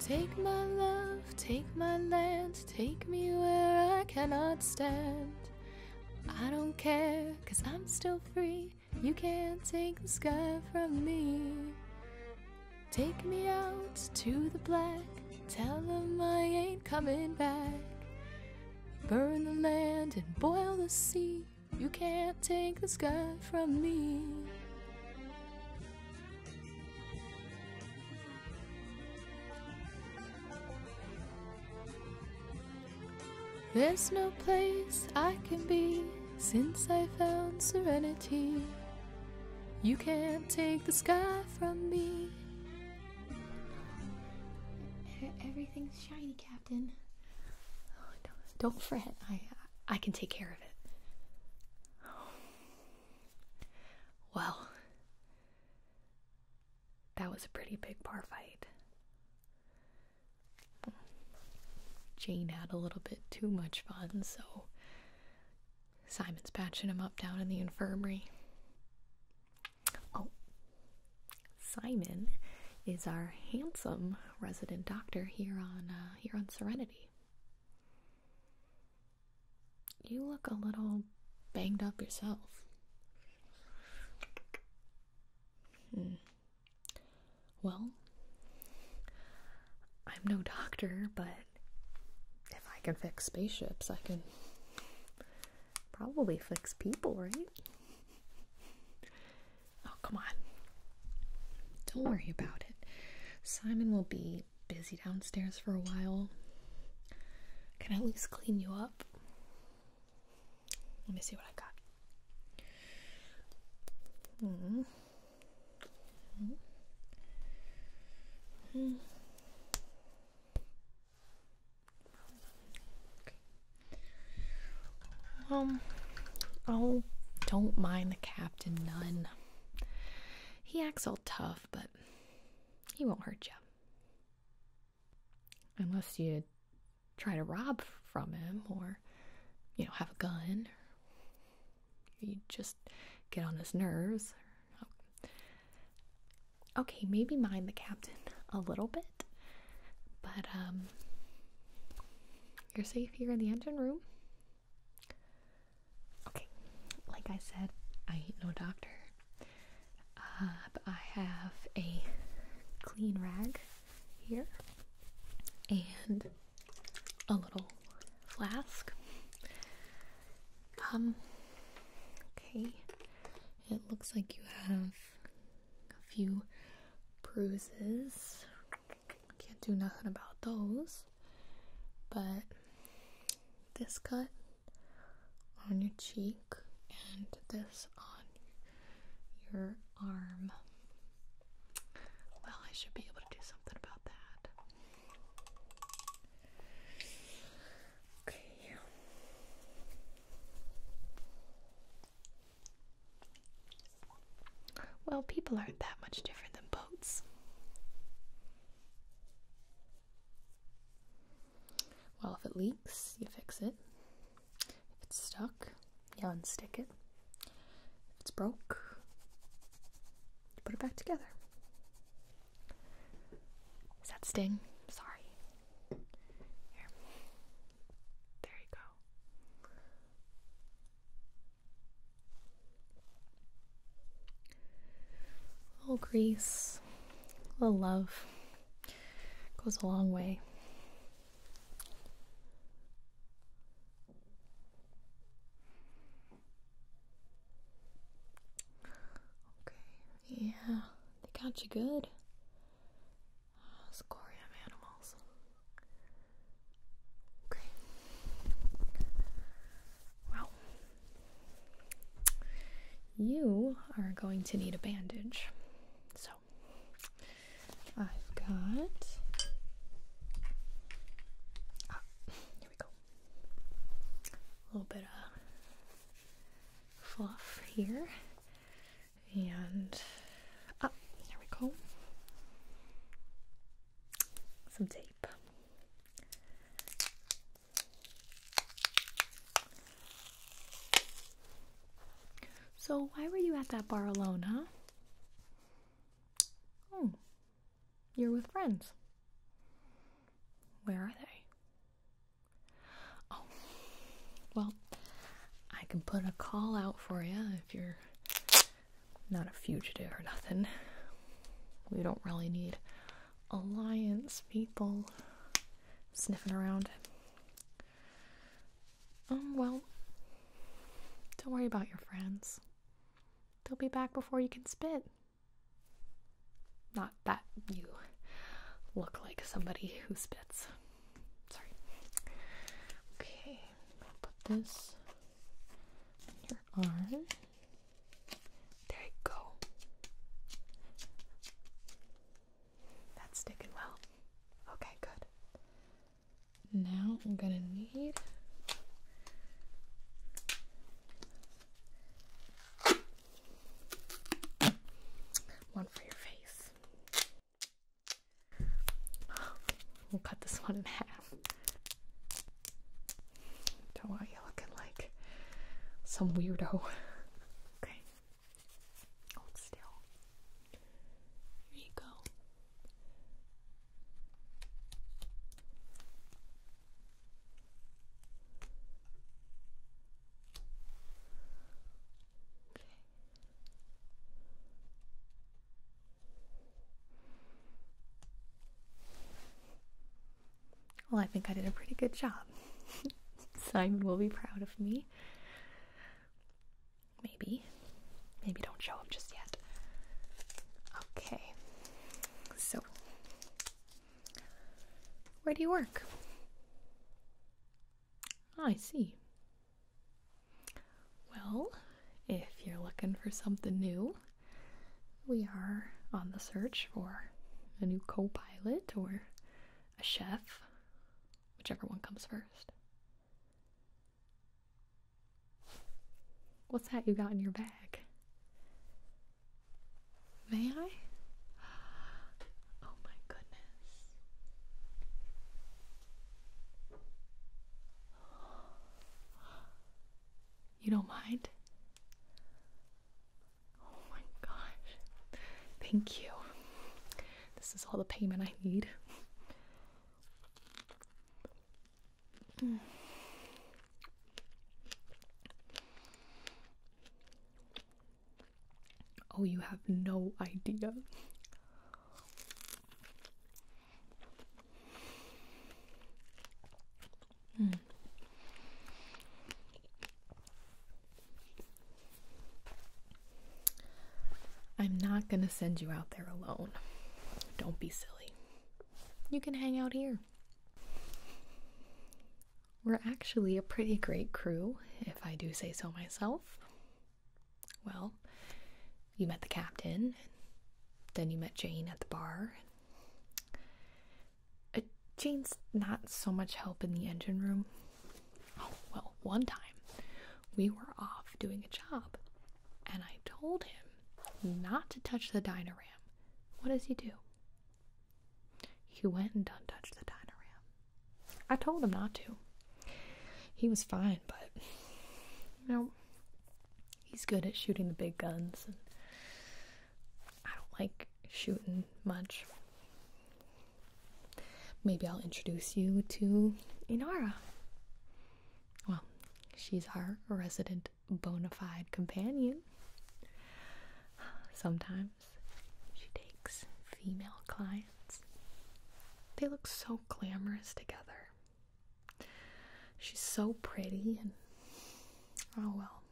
Take my love, take my land, take me where I cannot stand. I don't care, cause I'm still free. You can't take the sky from me. Take me out to the black, tell them I ain't coming back. Burn the land and boil the sea. You can't take the sky from me. There's no place I can be since I found serenity. You can't take the sky from me. Everything's shiny, Captain. Oh, don't fret. I I can take care of it. Well, that was a pretty big bar fight. Jane had a little bit too much fun, so Simon's patching him up down in the infirmary. Oh, Simon is our handsome resident doctor here on uh, here on Serenity. You look a little banged up yourself. Hmm. Well, I'm no doctor, but if I can fix spaceships, I can probably fix people, right? Oh, come on. Don't worry about it. Simon will be busy downstairs for a while. Can I at least clean you up? Let me see what I got. Mm. Mm. Mm. oh, don't mind the captain, none. He acts all tough, but he won't hurt you. Unless you try to rob from him or, you know, have a gun. You just get on his nerves. Okay, maybe mind the captain a little bit, but um, you're safe here in the engine room. Okay, like I said, I ain't no doctor, uh, but I have a clean rag here and a little flask. Um, okay, it looks like you have a few bruises. Can't do nothing about those. But this cut on your cheek and this on your arm. Well, I should be able to do something about that. Okay. Well, people aren't that much different than boats. Well, if it leaks, you fix it. If it's stuck, you unstick it. If it's broke, you put it back together. Is that sting? Sorry. Here. There you go. A little grease, a little love goes a long way. Okay, yeah, they got you good. Scorium animals. Okay. Well, you are going to need a bandage. So, I've got. Ah, here we go. A little bit of fluff here. And. Ah, there we go some tape. So, why were you at that bar alone, huh? Oh, you're with friends. Where are they? Oh, well, I can put a call out for you if you're not a fugitive or nothing. We don't really need alliance people sniffing around. Um, well, don't worry about your friends. They'll be back before you can spit. Not that you look like somebody who spits. Sorry. Okay, put this your arm. There you go. That's sticking well. Okay, good. Now I'm gonna need one for your face. We'll cut this one in half. Don't want you looking like some weirdo. okay. Hold still. Here you go. Okay. Well, I think I did a pretty good job. Simon will be proud of me. Maybe. Maybe don't show him just yet. Okay. So, where do you work? Ah, I see. Well, if you're looking for something new, we are on the search for a new co pilot or a chef, whichever one comes first. What's that you got in your bag? May I? Oh my goodness. You don't mind? Oh my gosh. Thank you. This is all the payment I need. Oh, you have no idea. Mm. I'm not going to send you out there alone. Don't be silly. You can hang out here. We're actually a pretty great crew, if I do say so myself. Well, you met the captain, then you met Jane at the bar. Uh, Jane's not so much help in the engine room. Oh, well, one time we were off doing a job and I told him not to touch the Dynaram. What does he do? He went and done touched the Dynaram. I told him not to. He was fine, but you know, he's good at shooting the big guns. And I don't like shooting much. Maybe I'll introduce you to Inara. Well, she's our resident bona fide companion. Sometimes she takes female clients. They look so glamorous together. She's so pretty, and oh well.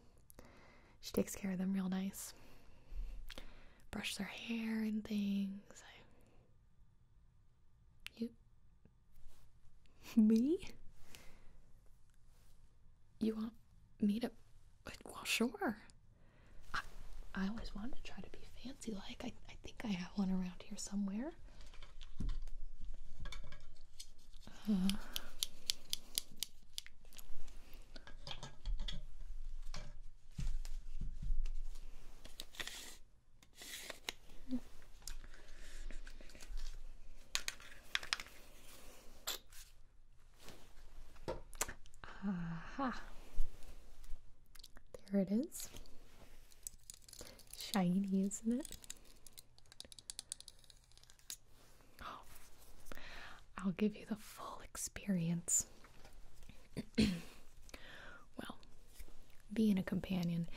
She takes care of them real nice. Brushes their hair and things. You. Me? You want me to. Well, sure. I, always want to try to be fancy like. I think I have one around here somewhere there. Aha. There it is. Shiny, isn't it? Oh. I'll give you the full experience. well, being a companion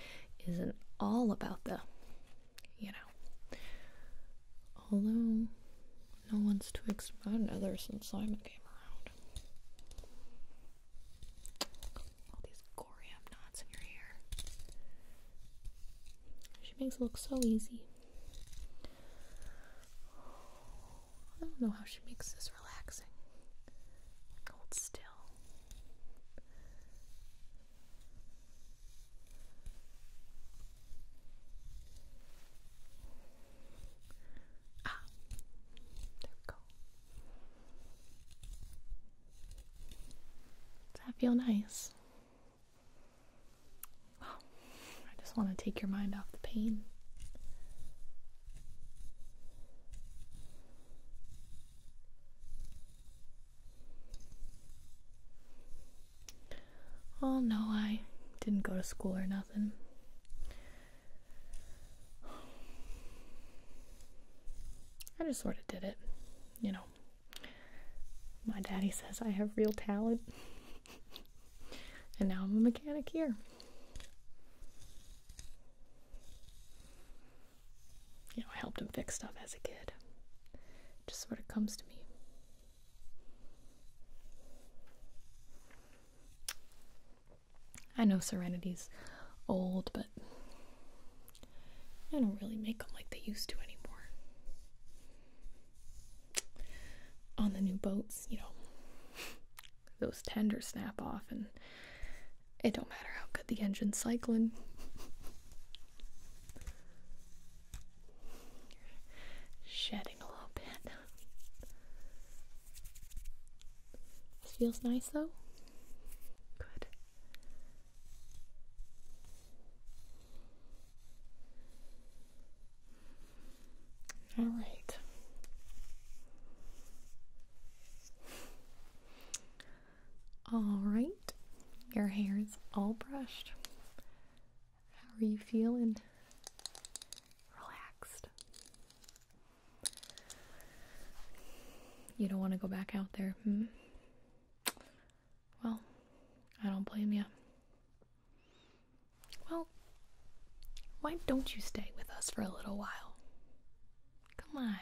isn't all about the, you know. Although, no one's twixt one another since Simon came around all these gorium knots in your hair. She makes it look so easy. I don't know how she makes this relaxing. Hold still. Ah, there we go. Does that feel nice? I just want to take your mind off the pain. Oh no, I didn't go to school or nothing. I just sort of did it, you know. My daddy says I have real talent, and now I'm a mechanic here. You know, I helped him fix stuff as a kid. just sort of comes to me. I know Serenity's old, but I don't really make them like they used to anymore. On the new boats, you know, those tenders snap off, and it don't matter how good the engine's cycling. Shedding a little bit. This feels nice though. Good. All right. All right. Your hair is all brushed. How are you feeling? Relaxed. You don't want to go back out there, hmm? Well, I don't blame you. Well, why don't you stay with us for a little while? Come on.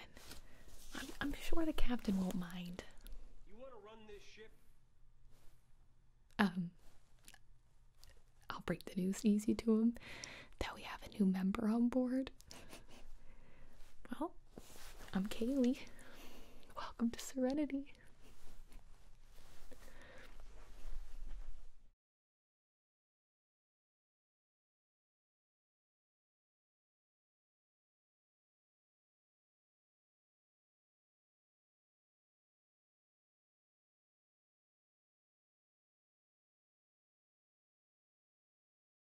I'm, sure the captain won't mind. Um, I'll break the news easy to him that we have a new member on board. Well, I'm Kaylee. Welcome to Serenity.